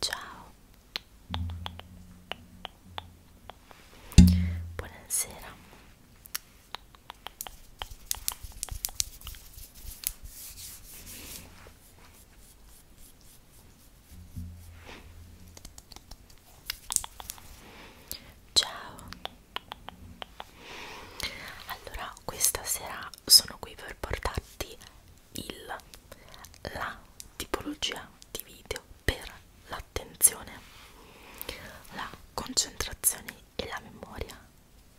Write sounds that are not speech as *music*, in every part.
Ciao, buonasera. Ciao. Allora, questa sera sono qui per portarti il la tipologia di video per l'attenzione, la concentrazione e la memoria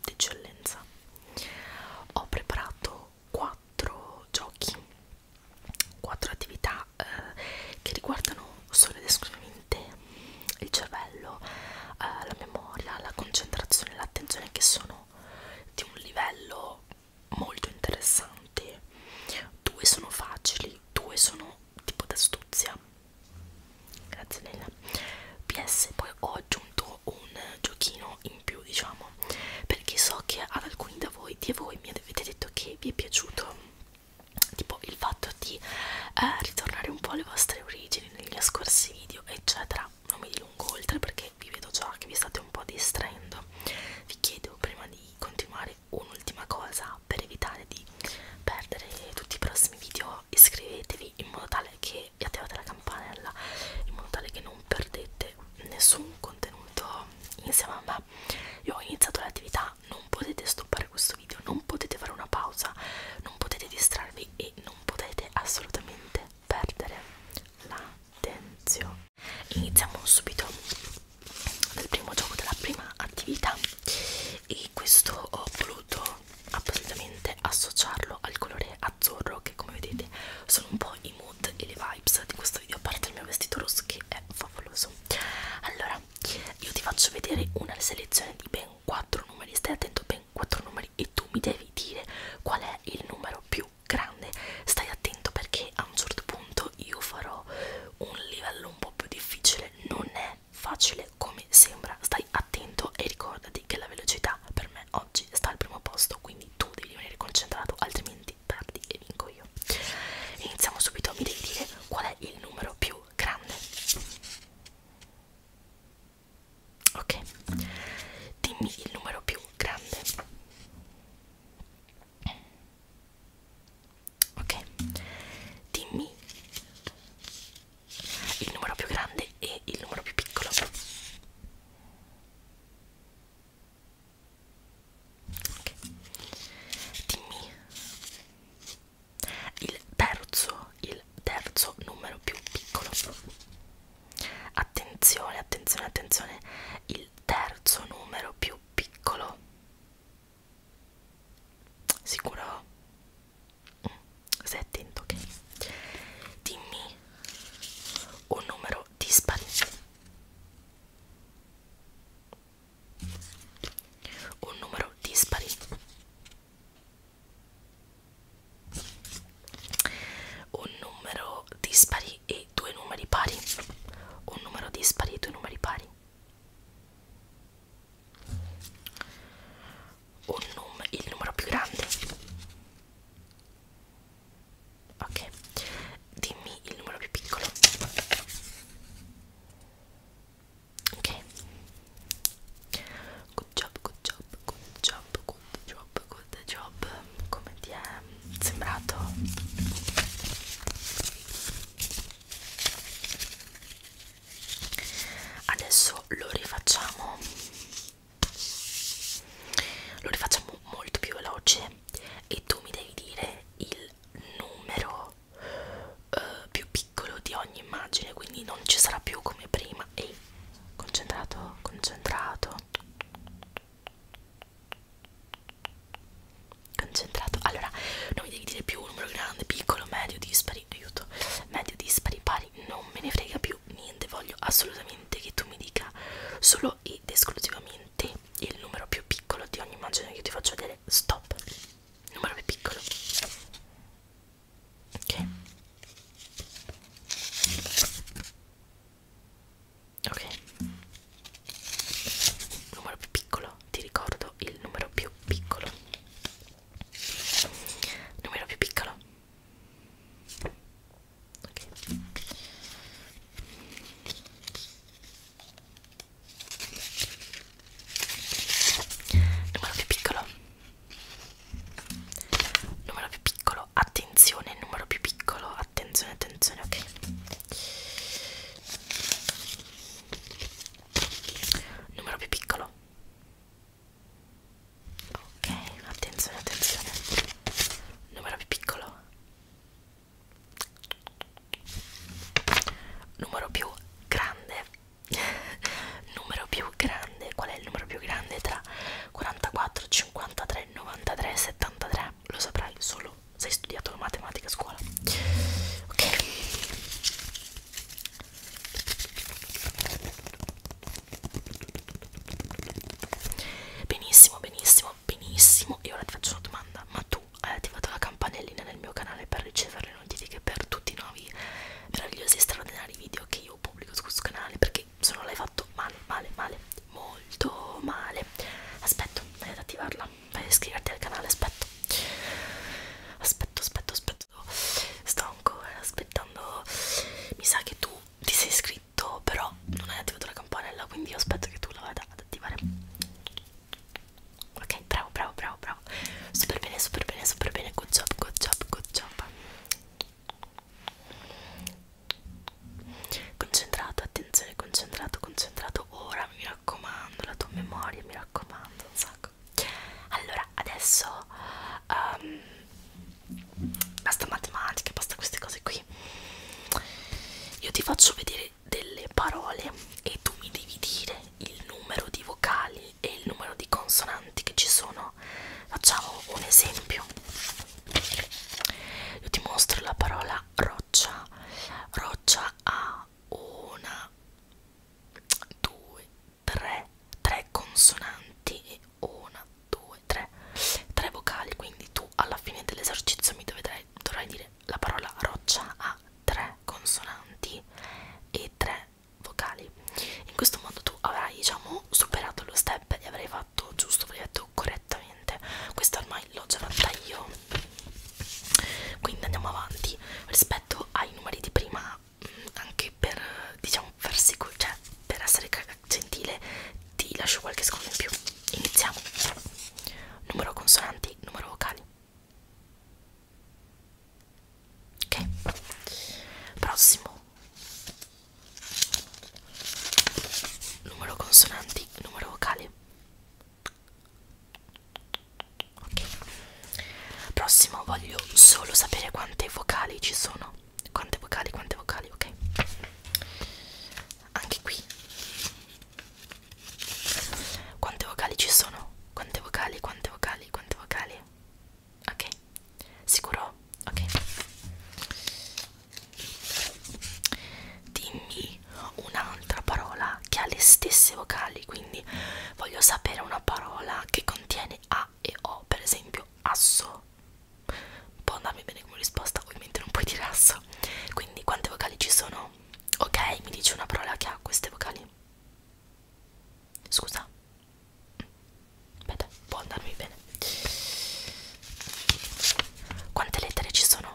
d'eccellenza. Ho preparato quattro giochi, quattro attività eh, che riguardano solo ed esclusivamente il cervello, eh, la memoria, la concentrazione e l'attenzione che sono di un livello molto interessante. Due sono facili, due sono tipo da astuzia grazie Leila PS poi ho aggiunto un giochino in più diciamo perché so che ad alcuni da voi di voi mi avete detto che vi è piaciuto tipo il fatto di eh, ritornare un po' alle vostre origini negli scorsi video eccetera non mi dilungo oltre perché vi vedo già che vi state un po' distraendo vi chiedo prima di continuare un'ultima cosa per evitare di perdere tutti i prossimi video iscrivetevi in modo tale che e attivate la campanella in modo tale che non perdete nessun contenuto insieme a me io ho iniziato l'attività non potete stoppare questo video non potete fare una pausa non potete distrarvi e non potete assolutamente perdere l'attenzione iniziamo subito del primo gioco della prima attività e questo ho voluto appositamente associarlo al colore azzurro che come vedete sono un po' i mood e le vibes di questo video a parte il mio vestito rosso che è favoloso allora io ti faccio vedere una selezione di ben 4 numeri stai attento ben 4 numeri e tu mi devi dire qual è il numero più grande stai attento perché a un certo punto io farò un livello un po' più difficile non è è facile come sembra, stai attento e ricordati che la velocità per me oggi sta al primo posto, quindi tu devi rimanere concentrato, altrimenti perdi e vinco io. Iniziamo subito, mi devi dire qual è il numero più grande. Ok, dimmi il numero più grande. Ok, dimmi il numero più grande e il numero più piccolo ok dimmi il terzo il terzo numero più piccolo attenzione attenzione attenzione il terzo numero più piccolo sicuro sei attento, ok? Dimmi un numero dispari. Un numero dispari. Un numero dispari e due numeri pari. Un numero dispari e due numeri pari un num il numero più grande ok dimmi il numero più piccolo ok good job good job good job good job good job come ti è sembrato adesso lo rifacciamo lo rifacciamo molto più veloce e tu mi devi dire il numero eh, più piccolo di ogni immagine quindi non ci sarà più come prima ehi concentrato concentrato concentrato allora non mi devi dire più un numero grande piccolo medio dispari pari, aiuto, medio dispari pari, non me ne frega più niente, voglio assolutamente che tu mi dica solo ed esclusivamente il numero più piccolo di ogni immagine che io ti faccio vedere, stop, numero più piccolo, ok? Ok, numero più piccolo, ti ricordo il numero più piccolo numero più piccolo ok numero più piccolo numero più piccolo attenzione numero più piccolo attenzione attenzione ok numero più piccolo ok attenzione attenzione numero più piccolo numero più grande *laughs* numero più grande qual è il numero più grande tra 44 53 93 73 lo saprai solo se hai studiato matematica a scuola ok Benissimo, benissimo, benissimo. E ora ti faccio una domanda: ma tu hai eh, attivato la campanellina nel mio canale per ricevere le notifiche per tutti i nuovi meravigliosi e straordinari video che io pubblico su questo canale? Perché se non l'hai fatto male, male, male, molto male. Aspetta, vai ad attivarla vai a iscriverti al canale aspetto aspetto aspetto aspetto sto ancora aspettando mi sa che tu ti sei iscritto però non hai attivato la campanella quindi io aspetto che tu la vada ad attivare ok bravo bravo bravo bravo super bene super bene super bene good job good job good job concentrato attenzione concentrato concentrato ora mi raccomando la tua memoria mi raccomando un sacco ecco allora adesso um, basta matematica basta queste cose qui io ti faccio vedere delle parole e tu mi devi dire il numero di vocali e il numero di consonanti che ci sono facciamo un esempio io ti mostro la parola roccia roccia ha una 2 3 3 consonanti e una 2 3 3 vocali quindi tu alla fine dell'esercizio mi dovrai, dovrai dire la parola roccia a 3 consonanti e 3 vocali in questo modo tu avrai diciamo superato lo step e avrai fatto giusto avrai detto correttamente questo ormai l'ho già fatta io quindi andiamo avanti rispetto rispetto ai numeri di prima mm, anche per diciamo farsi cioè per essere gentile ti lascio qualche secondo in più iniziamo numero consonanti numero vocali ok prossimo numero consonanti numero vocali ok prossimo voglio solo sapere quante vocali ci sono quante vocali quante vocali ok anche qui quante vocali ci sono quante vocali quante vocali quante vocali ok sicuro ok dimmi vorrei un'altra parola che ha le stesse vocali, quindi voglio sapere una parola che contiene A e O, per esempio asso. Può andarmi bene come risposta, ovviamente non puoi dire asso. Quindi quante vocali ci sono? Ok, mi dici una parola che ha queste vocali? Scusa. Aspetta, può andarmi bene. Quante lettere ci sono?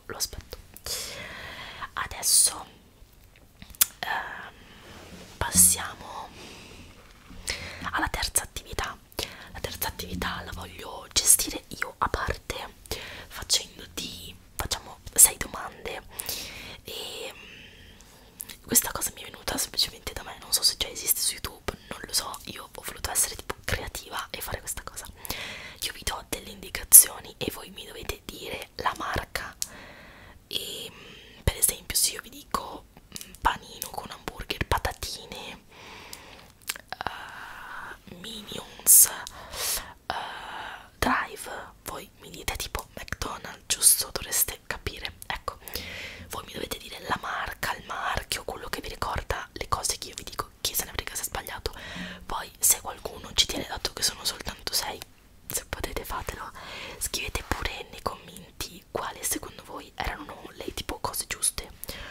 adesso lo aspetto adesso ehm, passiamo alla terza attività la terza attività la voglio gestire io a parte facendoti facciamo sei domande e mm, questa cosa mi è venuta semplicemente da me non so se già esiste su youtube non lo so io ho voluto essere creativa e fare questa cosa io vi do delle indicazioni e voi mi dovete dire la marca e mm, per esempio se io vi dico mm, panino con hamburger patatine uh, minions uh, drive voi mi dite tipo mcdonald's giusto dovreste capire ecco voi mi dovete dire la marca il marchio quello che vi ricorda le cose che io vi dico chi se ne frega se è sbagliato poi se qualcuno ci tiene dato che sono soltanto 6 se potete fatelo scrivete pure nei commenti quali secondo voi erano le tipo cose giuste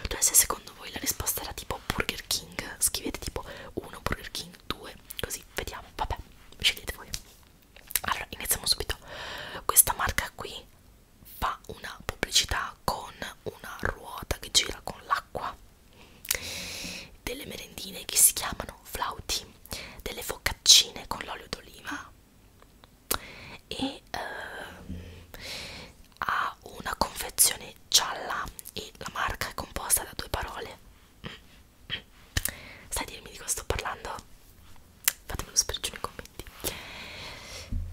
cioè se secondo voi la risposta era tipo Burger King scrivete tipo 1 Burger King 2 così vediamo vabbè scegliete voi allora iniziamo subito questa marca qui fa una pubblicità con una ruota che gira con l'acqua delle merendine che si chiamano flauti, delle focaccine con l'olio d'oliva e ehm, ha una confezione gialla e la marca è composta da due parole. Sai dirmi di cosa sto parlando? Fatemelo sapere giù nei commenti.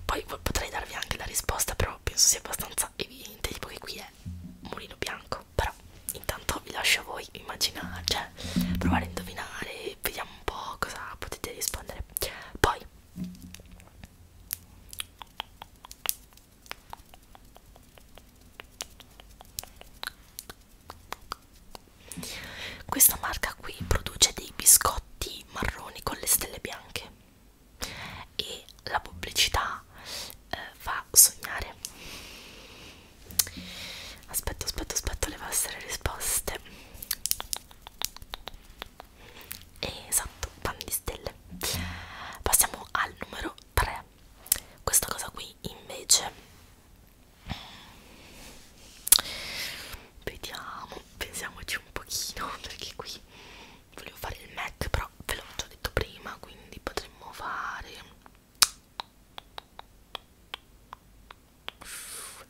Poi potrei darvi anche la risposta, però penso sia abbastanza abbastanza evidente tipo che qui è mulino bianco però intanto vi lascio a voi immaginare cioè provare a indovinare vediamo un po' cosa potete rispondere poi questa marca qui produce dei biscotti marroni con le stelle bianche e la pubblicità eh, fa sognare aspetto aspetto aspetto le vostre risposte esatto pan di stelle passiamo al numero 3 questa cosa qui invece vediamo pensiamoci un pochino *laughs* perché qui volevo fare il MAC però ve l'ho già detto prima quindi potremmo fare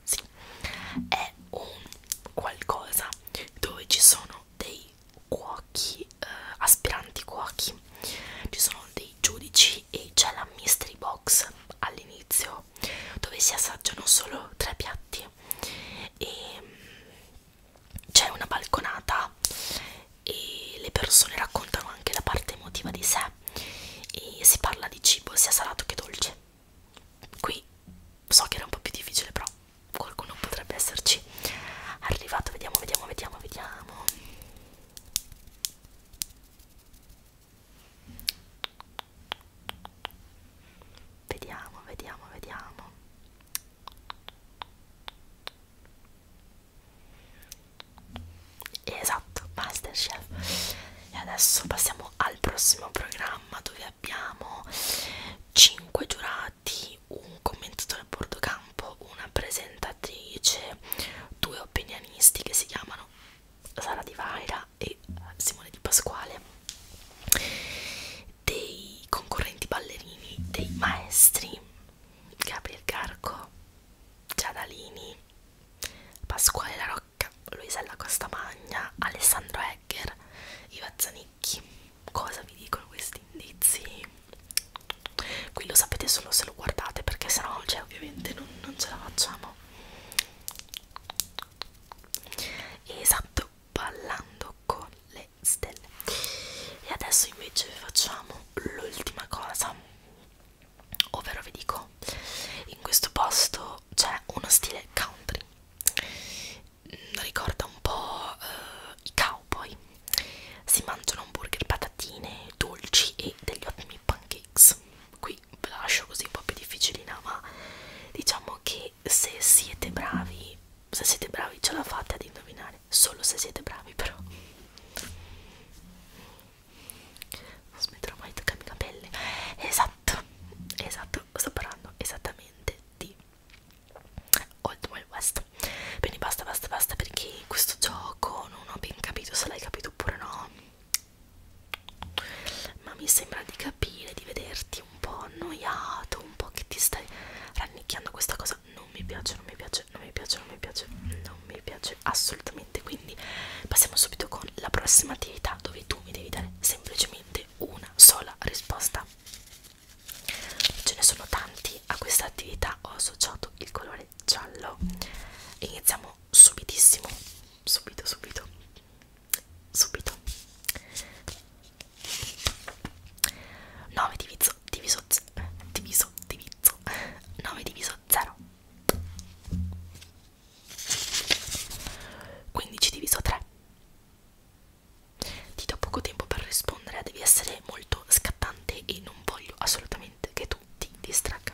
sì è un qualcosa dove ci sono dei cuochi eh, aspiranti cuochi ci sono dei giudici e c'è la mystery box all'inizio dove si assaggiano solo tre piatti e c'è una balconata e le persone raccontano anche la parte emotiva di sé e si parla di cibo sia salato che dolce qui so che era un po' più difficile però qualcuno potrebbe esserci arrivato vediamo vediamo vediamo vediamo Vediamo, vediamo, vediamo. Esatto, Masterchef. E adesso passiamo al prossimo programma dove abbiamo 5 giurati, un commentatore a bordo campo, una presentatrice, due opinionisti che si chiamano Sara Di Vaira e Simone Di Pasquale dei concorrenti ballerini, dei maestri, Gabriel Carco, Giadalini, Pasquale La Rocca, Luisella Costamagna, Alessandro Egger, Iva Zanicchi. Cosa vi dicono questi indizi? Qui lo sapete solo se lo guardate perché sennò cioè, ovviamente non, non ce la facciamo. Esatto, ballando con le stelle e adesso invece facciamo l'ultima cosa ovvero vi dico in questo posto c'è uno stile country mm, ricorda un po' eh, i cowboy si mangiano hamburger, patatine, dolci e degli ottimi pancakes qui ve la lascio così un po' più difficilina ma diciamo che e se siete bravi se siete bravi ce la fate ad indovinare solo se siete bravi però non smetterò mai di toccare i capelli esatto esatto sto parlando esattamente di Old Wild West quindi basta basta basta perché in questo gioco non ho ben capito se l'hai capito oppure no ma mi sembra di capire di vederti un po' annoiato, un po' che ti stai rannicchiando questa cosa non mi piace, non mi piace, non mi piace, non mi piace, non mi piace assolutamente. Quindi passiamo subito con la prossima attività dove tu mi devi dare semplicemente una sola risposta. Ce ne sono tanti, a questa attività ho associato il colore giallo. Iniziamo subitissimo, subito, subito subito 9 diviso diviso diviso diviso 9 diviso 0 15 diviso 3 ti do poco tempo per rispondere devi essere molto scattante e non voglio assolutamente che tu ti distragga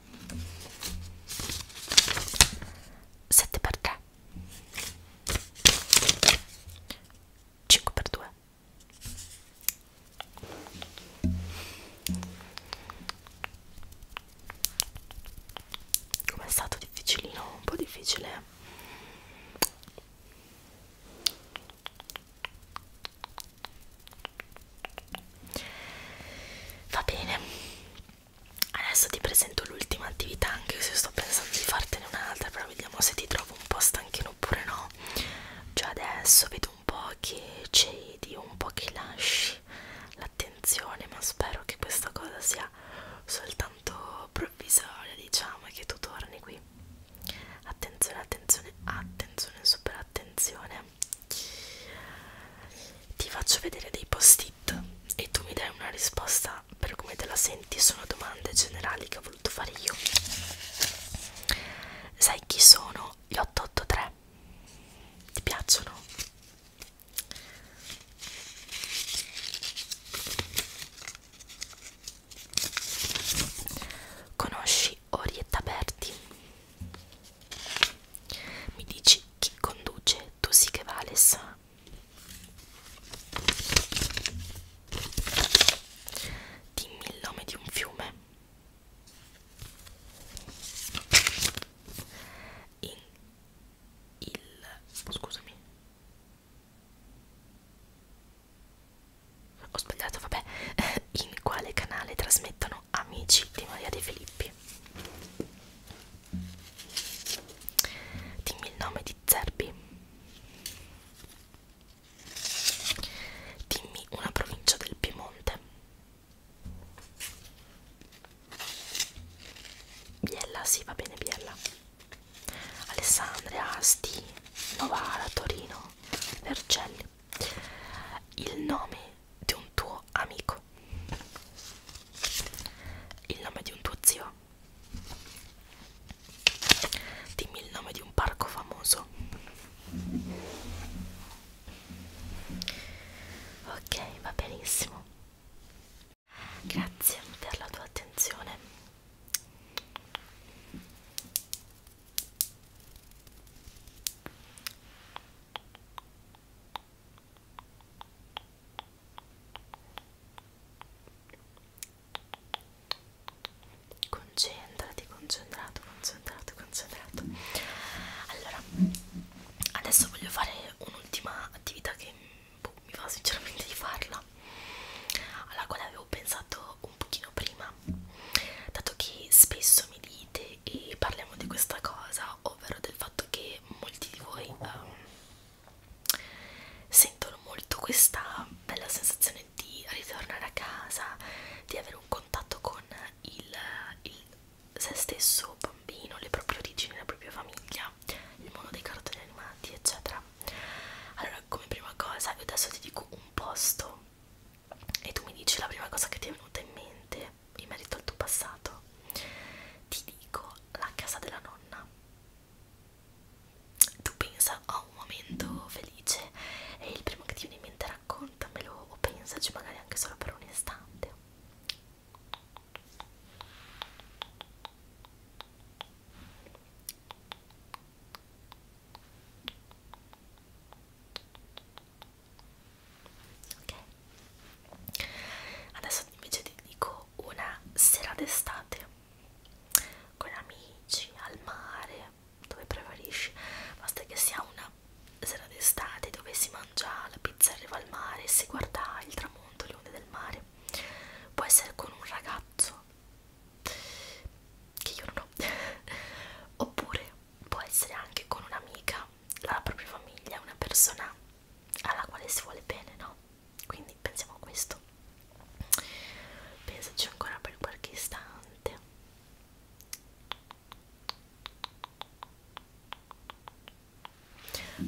bello 7x3 5x2 come è stato difficilino un po' difficile va bene adesso ti presento l'ultima attività anche se sto pensando di fartene un'altra però vediamo se ti trovo un po' stanchino oppure no cioè adesso vedo un po' che cedi un po' che lasci l'attenzione ma spero che questa cosa sia soltanto provvisoria diciamo e che tu torni qui attenzione attenzione attenzione super attenzione ti faccio vedere dei post-it e tu mi dai una risposta per come te la senti. Sono domande generali che ho voluto fare io. Sai chi sono gli 883? Ti piacciono? Conosci Orietta Berti? Mi dici chi conduce, tu sì che vales. Dimmi il nome di un fiume. In il oh, scusami. Ho sbagliato, vabbè. *laughs* In quale canale trasmettono sono amici di Maria De Filippi. Dimmi il nome di Zerbi. Dimmi una provincia del Piemonte. Biella, sì, va bene, Biella. Alessandria, Asti, Novara, Torino, Vercelli. Il nome di un tuo amico il nome di un tuo zio dimmi il nome di un parco famoso ok va benissimo grazie per la tua attenzione Concentrati, concentrato, concentrato, concentrato. Allora, adesso voglio fare un'ultima attività che boh, mi va sinceramente di farla, alla quale avevo pensato un pochino prima, dato che spesso mi dite e parliamo di questa cosa ovvero del fatto che molti di voi um, sentono molto questa bella sensazione di ritornare a casa, di avere un contatto con il, il se stesso bambino, le proprie origini, la propria famiglia, il mondo dei cartoni animati, eccetera. Allora, come prima cosa, io adesso ti dico un posto e tu mi dici la prima cosa che ti è venuta in mente in merito al tuo passato, ti dico la casa della nonna. Tu pensa a un momento felice e il primo che ti viene in mente raccontamelo o pensaci magari anche solo per un istante ok adesso invece ti dico una sera d'estate con amici al mare dove preferisci basta che sia una sera d'estate dove si mangia la pizza in riva al mare e si guarda il tramonto le onde del mare può essere con un ragazzo che io non ho *laughs* oppure può essere anche con un'amica, la propria famiglia, una persona alla quale si vuole bene, no? Quindi pensiamo a questo. Pensaci ancora per qualche istante.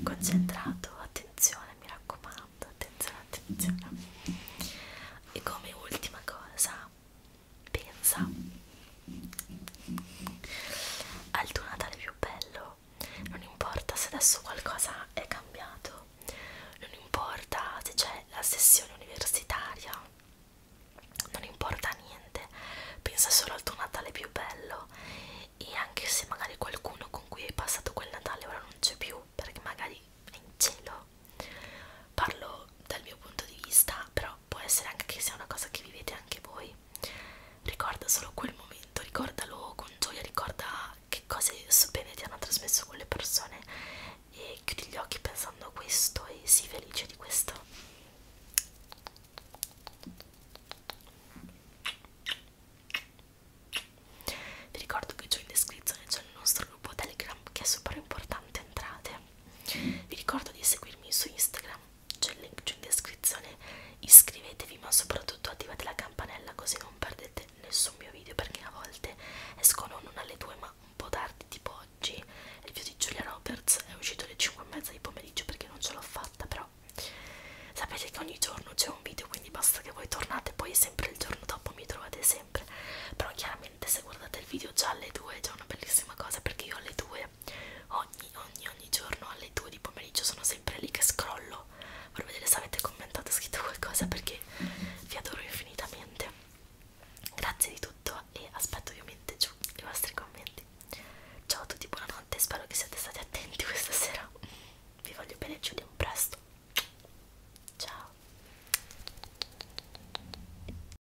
Concentrato, attenzione, mi raccomando, attenzione, attenzione. E come ultima cosa Pensa al tuo Natale più bello, non importa se adesso qualcosa è cambiato, non importa se c'è la sessione universitaria, non importa niente, pensa solo al tuo Natale più bello e anche se magari qualcuno con cui hai passato quel Natale ora non c'è più perché magari è in cielo. Parlo dal mio punto di vista, però può essere anche che sia una cosa che vivete anche voi. Ricorda solo quel momento, ricordalo con gioia, ricorda che cose bene ti hanno trasmesso quelle persone e chiudi gli occhi pensando a questo e sii felice di questo. Vi ricordo che giù in descrizione c'è il nostro gruppo Telegram che è super importante, entrate vi ricordo di seguirmi su Instagram, c'è il link giù in descrizione. Iscrivetevi, ma soprattutto attivate la campanella così non perdete nessun mio video perché a volte escono non alle 2 ma un po' tardi, tipo oggi. Il video di Giulia Roberts è uscito alle 5 e mezza di pomeriggio perché non ce l'ho fatta, però sapete che ogni giorno c'è un video, quindi basta che voi tornate, poi sempre il giorno dopo mi trovate sempre. Però chiaramente se guardate il video già alle 2 è già una bellissima cosa perché io alle 2 ogni, ogni, ogni giorno alle 2 di pomeriggio sono sempre lì che scrollo per vedere se avete commentato scritto qualcosa perché vi adoro infinitamente grazie di tutto e aspetto ovviamente giù i vostri commenti ciao a tutti buonanotte spero che siate stati attenti questa sera vi voglio bene ci vediamo presto ciao